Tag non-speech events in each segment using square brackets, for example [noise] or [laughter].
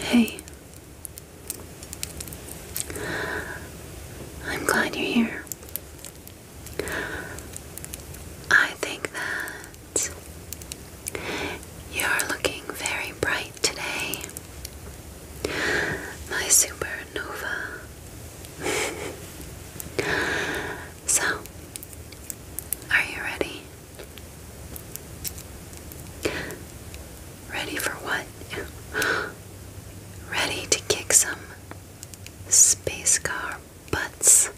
Hey, I'm glad you're here. I think that you're looking very bright today. My supernova. [laughs] so, are you ready? Ready for what? [gasps] Ready to kick some space car butts.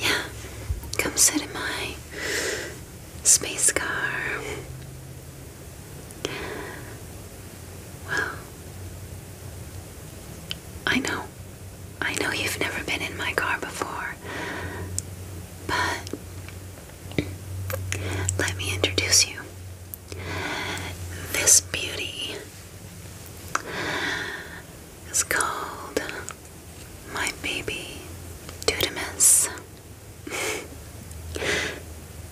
Yeah, come sit in my space car. Well, I know. I know you've never been in my car before, but let me introduce you this beauty is called my baby Dudamus. [laughs]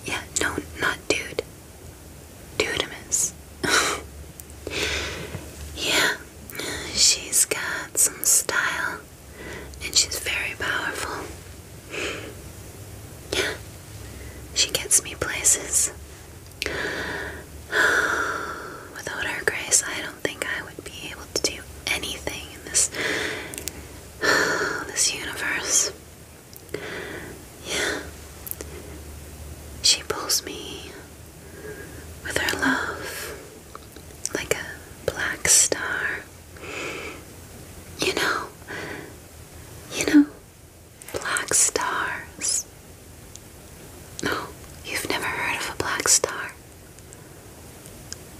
yeah, no, not dude. Dudamus. [laughs] yeah, she's got some style and she's very powerful. Yeah. She gets me places. [sighs] Without her grace, I don't think I would be able to do anything in this [sighs] this universe. Yeah. She pulls me with her love like a black star you know, you know, black stars. No, you've never heard of a black star. [laughs]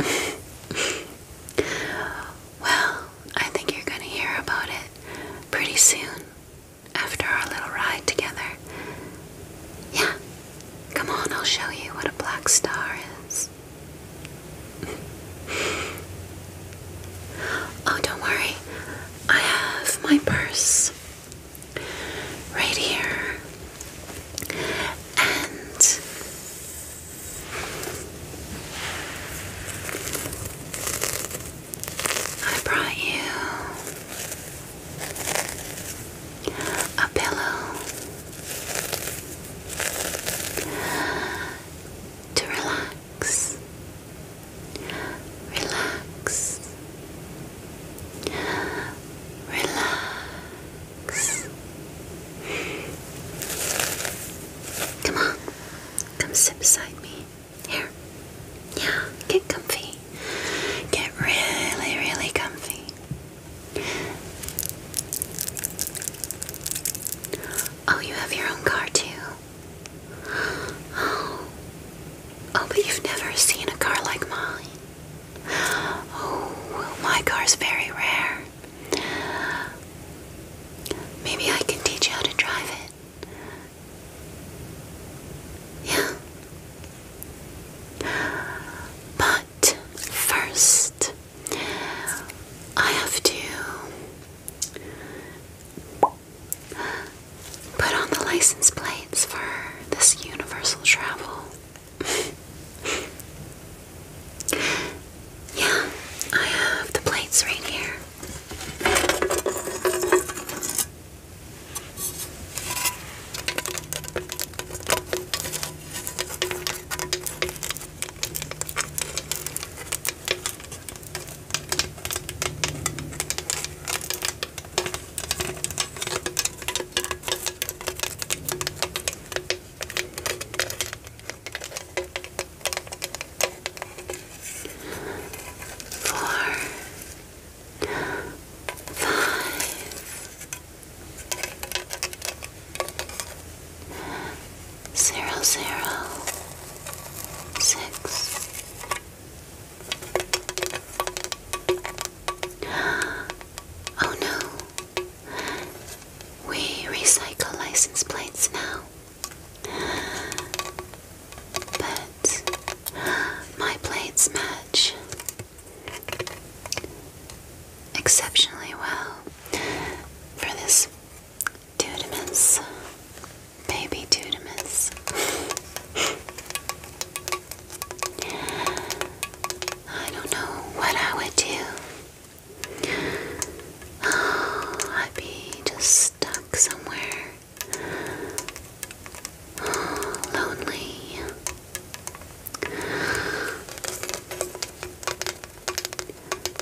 well, I think you're going to hear about it pretty soon after our little ride together. Yeah, come on, I'll show you what a black star is. Oh, don't worry. I have my purse right here. And I brought you a pillow to relax relax, relax, relax. Come on, come sit beside me. Here, yeah, get comfy. Get really, really comfy. Oh, you have your own car too. Oh. Oh, but you've never seen a car like mine. Oh, my car's very rare. Maybe I can teach you how to drive it. Yeah. But first, I have to Put on the license plates for this universal travel. [laughs] yeah, I have the plates right here. Four, five, zero zero six Oh no. We recycle license plates now. But my plates match exceptionally well for this Tudimus. Baby Tudimus. I don't know what I would do. Oh, I'd be just stuck somewhere. Oh, lonely.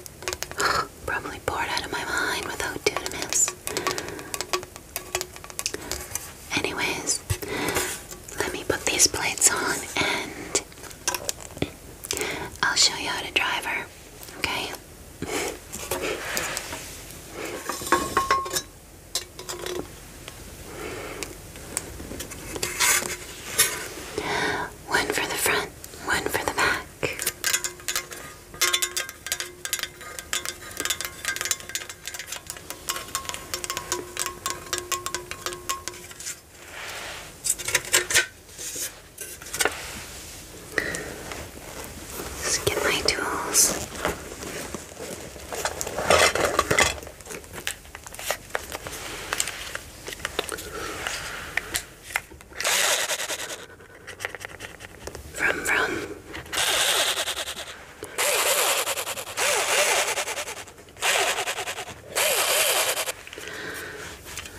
[gasps] Probably bored out of my mind without Dunamis. Anyways, let me put these plates on and I'll show you how to drive her, okay? One for the front, one for the back. Just get my tools. Vroom vroom.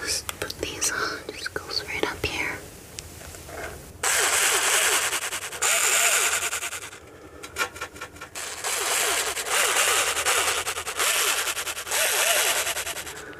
Just put these on, just goes right up here.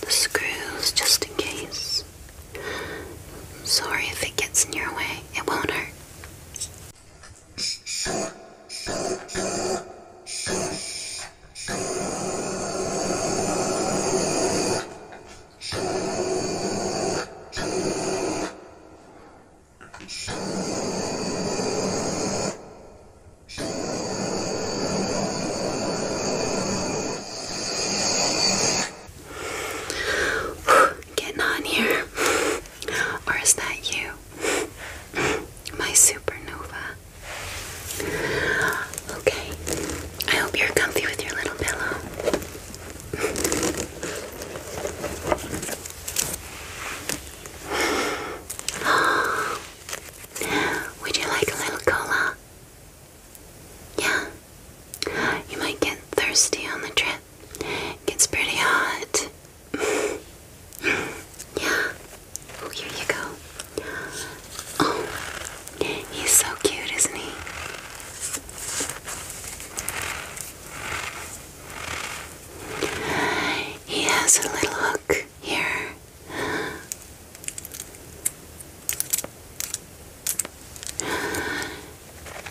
the screws just in case. Sorry if it gets in your way, it won't hurt. Getting on here. Or is that you? My supernova. Okay. I hope you're comfy with your little pillow. [gasps] Would you like a little cola? Yeah. You might get thirsty on the trip. It gets pretty hot. [laughs] yeah. Oh, here you go. Oh, he's so cute, isn't he? He has a little hook here.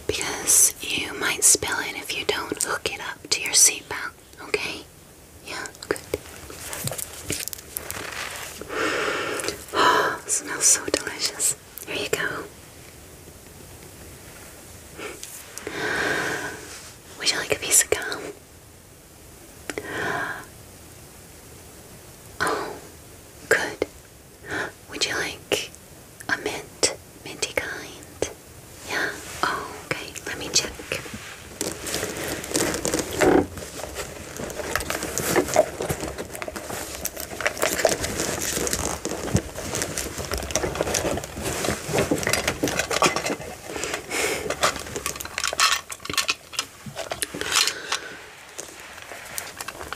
Because you might spill it if you don't hook it up to your seatbelt, okay? Yeah, good. [gasps] smells so delicious. Here you go. Would you like a piece of gum? Oh, good. Would you like a mint? Minty kind? Yeah? Oh, okay. Let me check.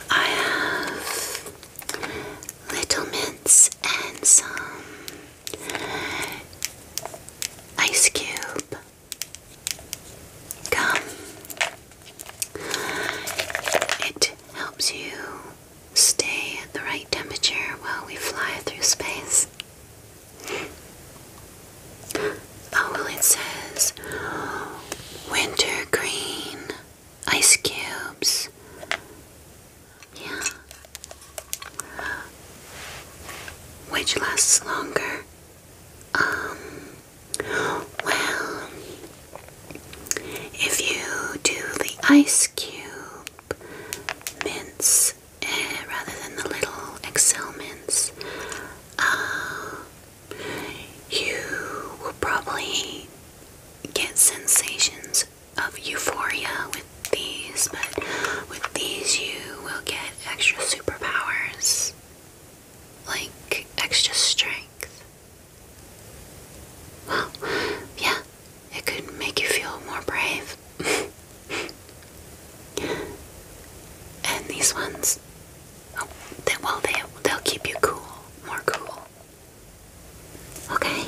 I have little mints and some ice cube gum. It helps you stay at the right temperature while we fly through space. Oh, well, it says winter green ice cubes. Yeah. Which lasts longer? Um, well, if you do the ice cube mints eh, rather than the little Excel mints, uh, you will probably get sensations of euphoria with these, but with these, you will get extra superpowers like extra strength. Well, yeah, it could make you feel more brave. [laughs] and these ones, Oh, they, well, they, they'll keep you cool, more cool. Okay?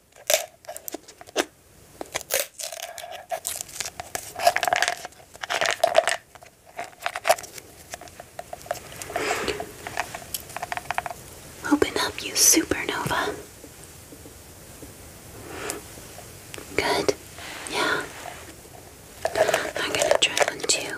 Open up, you supernova. Good. Yeah. I'm gonna try one too.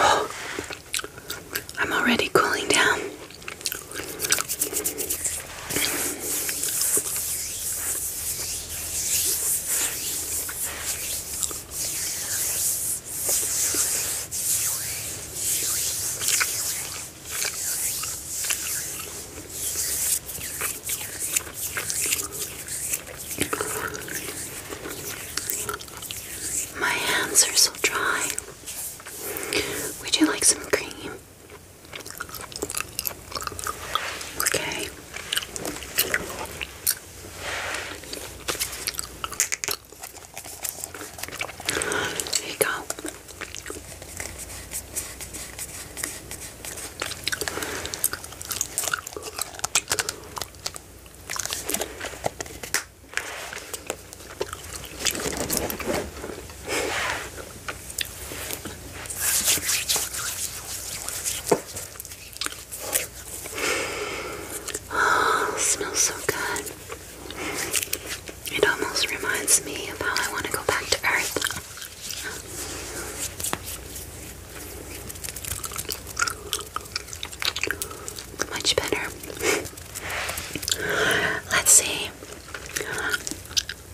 [sighs] I'm already cooling down. My hands are so dry. Would you like some cream? Okay. Here you go. Oh, smells so good. It almost reminds me of how I want to go back to Earth. Much better. [laughs] Let's see.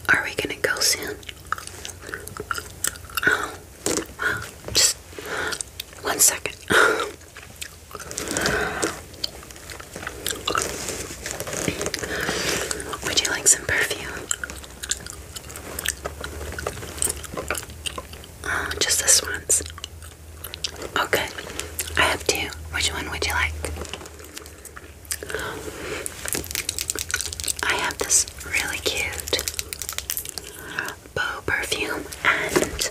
Are we gonna go soon? Oh, just one second. [laughs] Would you like some perfume? Oh, just this one's. Oh, I have two. Which one would you like? I have this really cute bow perfume and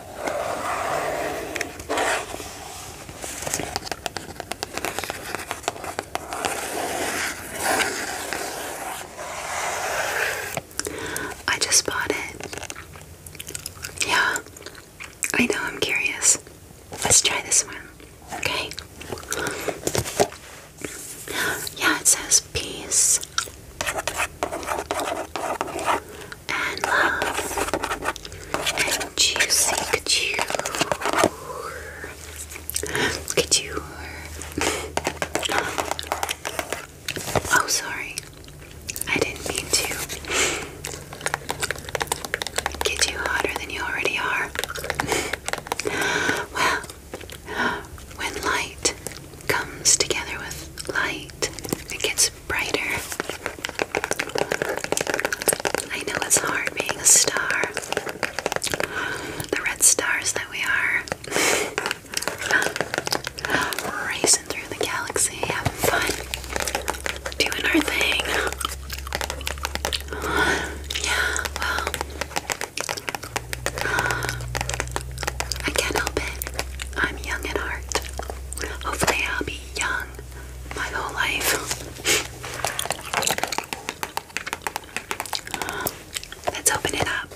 I just bought it. Yeah, I know, I'm curious. Let's try this one, okay? Yeah, it says peace, and love and juicy couture. Couture. oh, sorry. I didn't mean to get you hotter than you already are. well, when light comes together with light, it gets brighter. I know it's hard being a star. The red stars that we are. [laughs] Racing through the galaxy, having fun, doing our thing. Yeah, well, I can't help it. I'm young at heart. Hopefully, I'll be young my whole life. Let's open it up.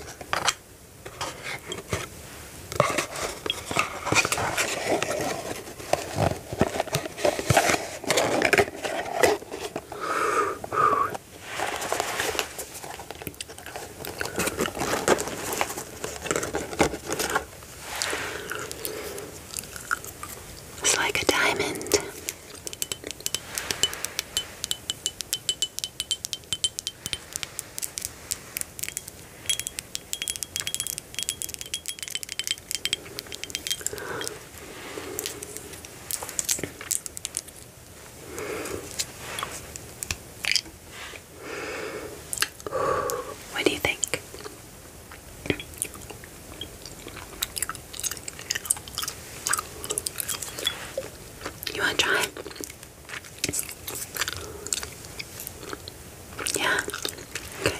It's like a diamond. What do you think? You want to try it? Yeah? Okay.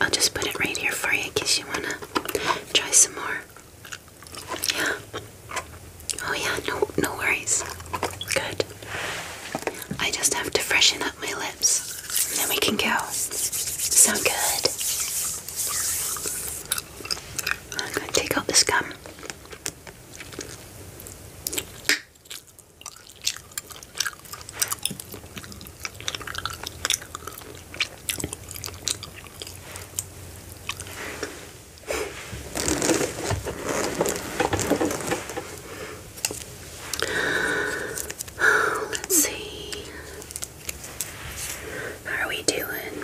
I'll just put it right here for you in case you wanna try some more. Yeah. Oh yeah, no no worries. Good. I just have to freshen up my lips. And then we can go. Sound good. take out this gum. Let's see. How are we doing?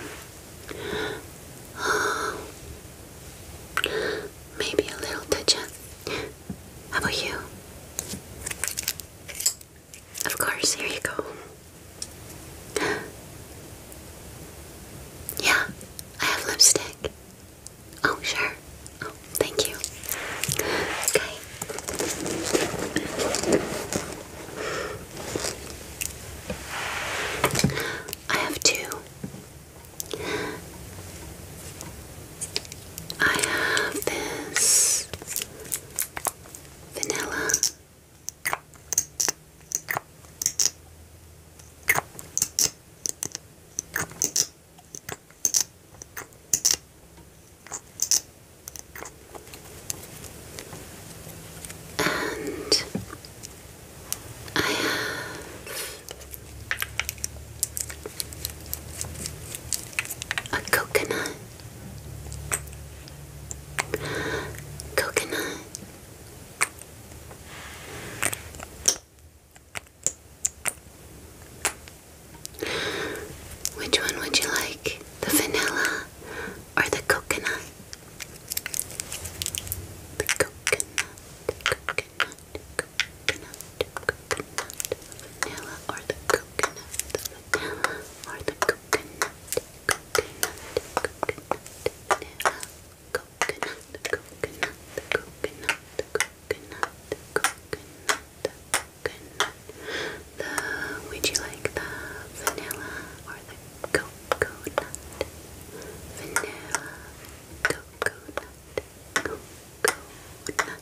[gasps] maybe a little touch How about you? Of course, here you go. [gasps] Yeah, I have lipstick. Oh, sure. Oh, thank you. Okay. I have two. I have this vanilla, and I have. A coconut Coconut. Which one would you like? The vanilla or the coconut? The coconut, coconut, coconut, coconut, vanilla or the coconut, would you like the vanilla or the coconut? Vanilla, coconut, coconut.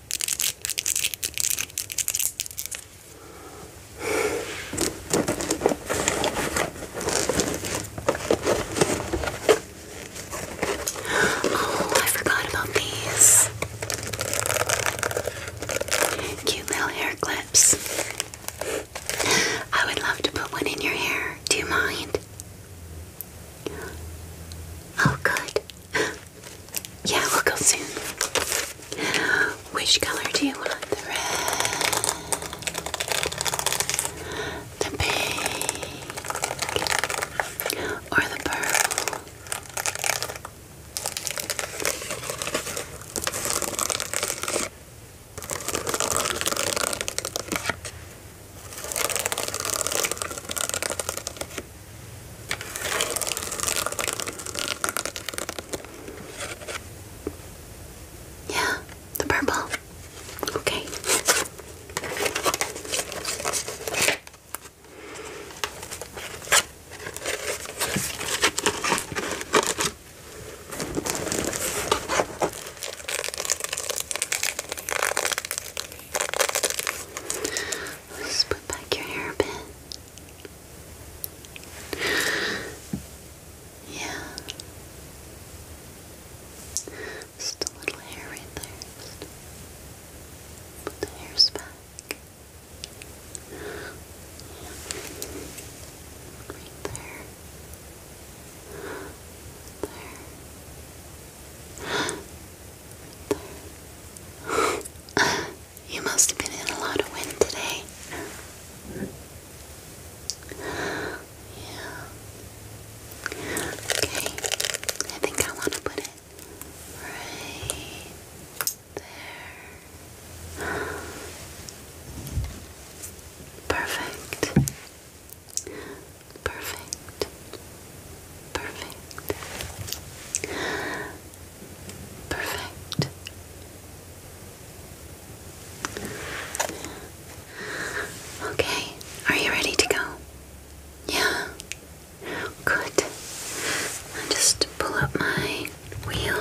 Oh, I forgot about these cute little hair clips. I would love to put one in your hair. Do you mind? Oh, good. [laughs] Yeah, we'll go soon. Which color do you want? The red, the pink, or the purple? Yeah, the purple. Okay. let put back your hair yeah. Just a little hair right there. the hairs back. Right there. There. [gasps] there. [gasps] You must have been in a lot of wind today. Yeah. Okay. I think I want to put it right there. Perfect. Perfect. Perfect. Perfect. Okay, are you ready to go? Yeah. Good. just pull up my wheel.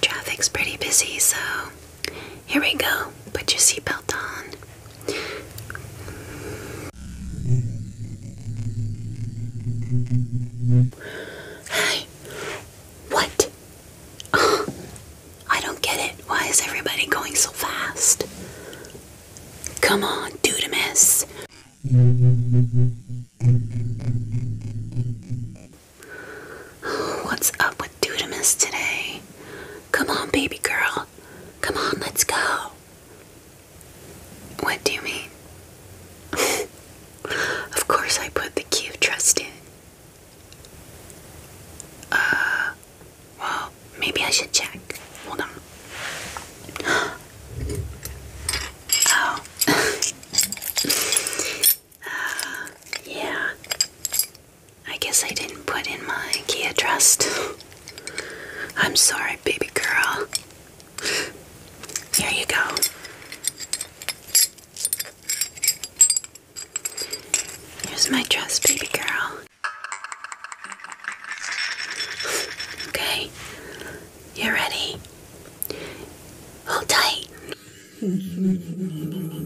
Traffic's pretty busy, so here we go. Put your seatbelt on. Hey, what? Uh, I don't get it. Why is everybody going so fast? Come on, dude, miss. What's up with Dudamus today. Come on, baby girl. Come on, let's go. What do you mean? [laughs] of course, I put the key of trust in. Uh, well, maybe I should check. Hold on. [gasps] Oh. [laughs] uh, yeah. I guess I didn't put in my IKEA trust. I'm sorry, baby girl. Here you go. Here's my dress, baby girl. Okay, you ready? Hold tight. [laughs]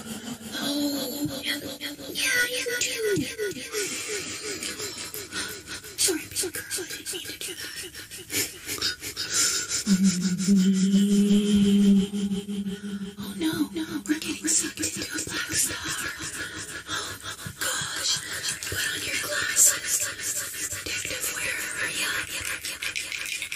Oh no, no, we're getting sucked into a black star. Oh gosh, put on your glasses. Detective, where are you?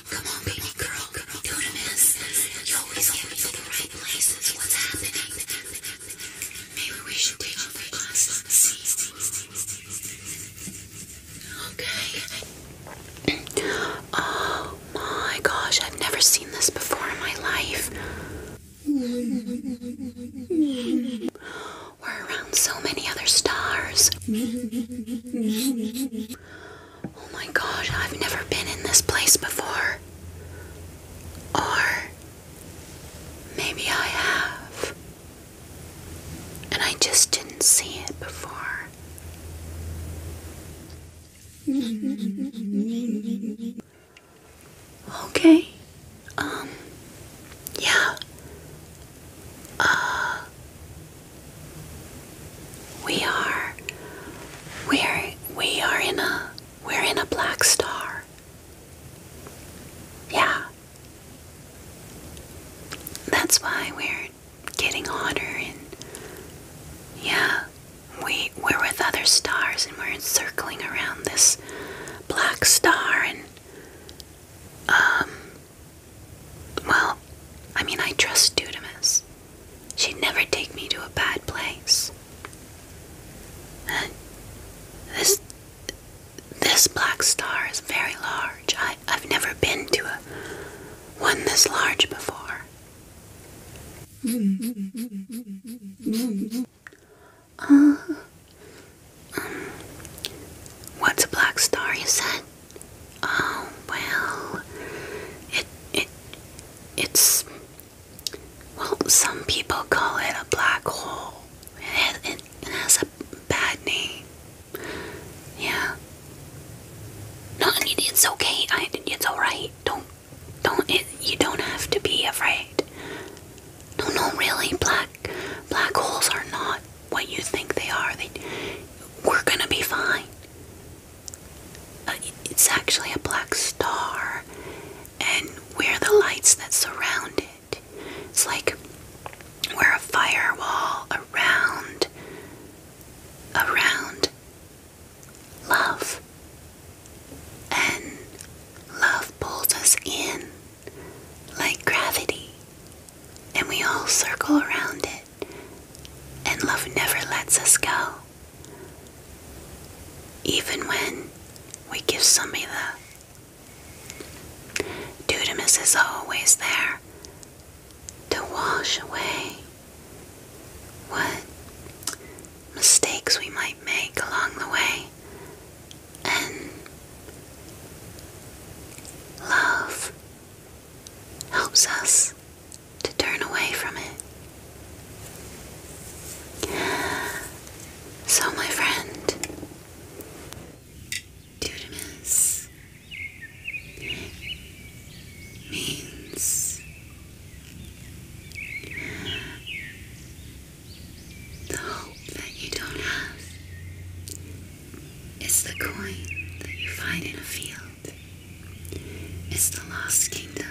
Come on, baby girl, do the mess. You always get me to the right places. What's happening? Maybe we should take off our Okay. Oh my gosh, I've never seen this before in my life. We're around so many other stars. Oh my god, I've never been in this place before. Or maybe I have. And I just didn't see it before. Okay. Um yeah. Uh, we are we're we are in a we're in a black star. Yeah. That's why we're getting hotter and yeah, we we're with other stars and we're encircling around this black star and um well, I mean, I trust Dudamis. She'd never take me to a bad place. this this black star is very large. I, I've never been to a one this large before. Uh, um, what's a black star, you said? Oh well, it it it's well. Some people call it a black hole. It it, has a bad name. Yeah. No, it's okay. it's all right. Don't don't it. You don't have to be afraid. No, no, really, black black holes are not what you think they are. They, we're gonna be fine. Uh, it's actually a black star, and we're the lights that surround it. It's like we're a firewall around, around love, and love pulls us in like gravity, and we all circle around it and love never lets us go. Even when we give somebody the Dudamus is always there to wash away what mistakes we might make along the way and love helps us to turn away from it. So, my friend, Dudamus means the hope that you don't have it's the coin that you find in a field. It's the lost kingdom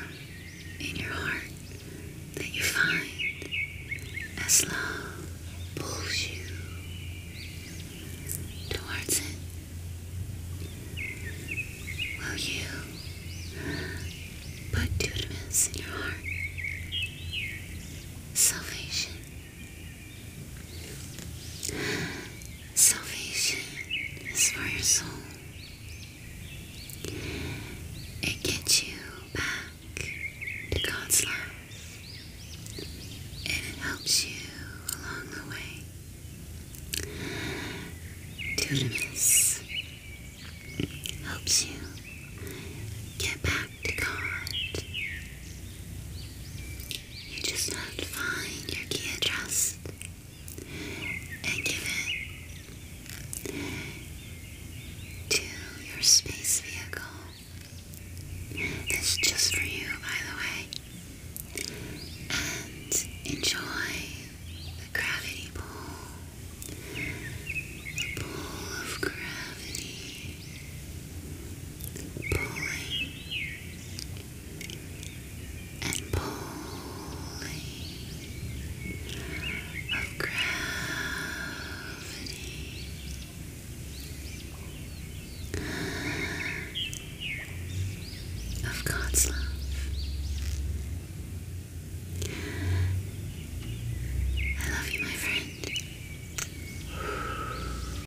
in your heart that you find as love pulls you towards it. Will you put dudamus in your heart? Salvation Salvation is for your soul. It gets you back to God's love. And it helps you along the way. Dunamis helps you get back to God you just have to find your key address and give it to your space vehicle. It's just for you, by the way. And enjoy the gravity pool. The pool of gravity pulling and pulling of gravity. Of God's love. I love you, my friend.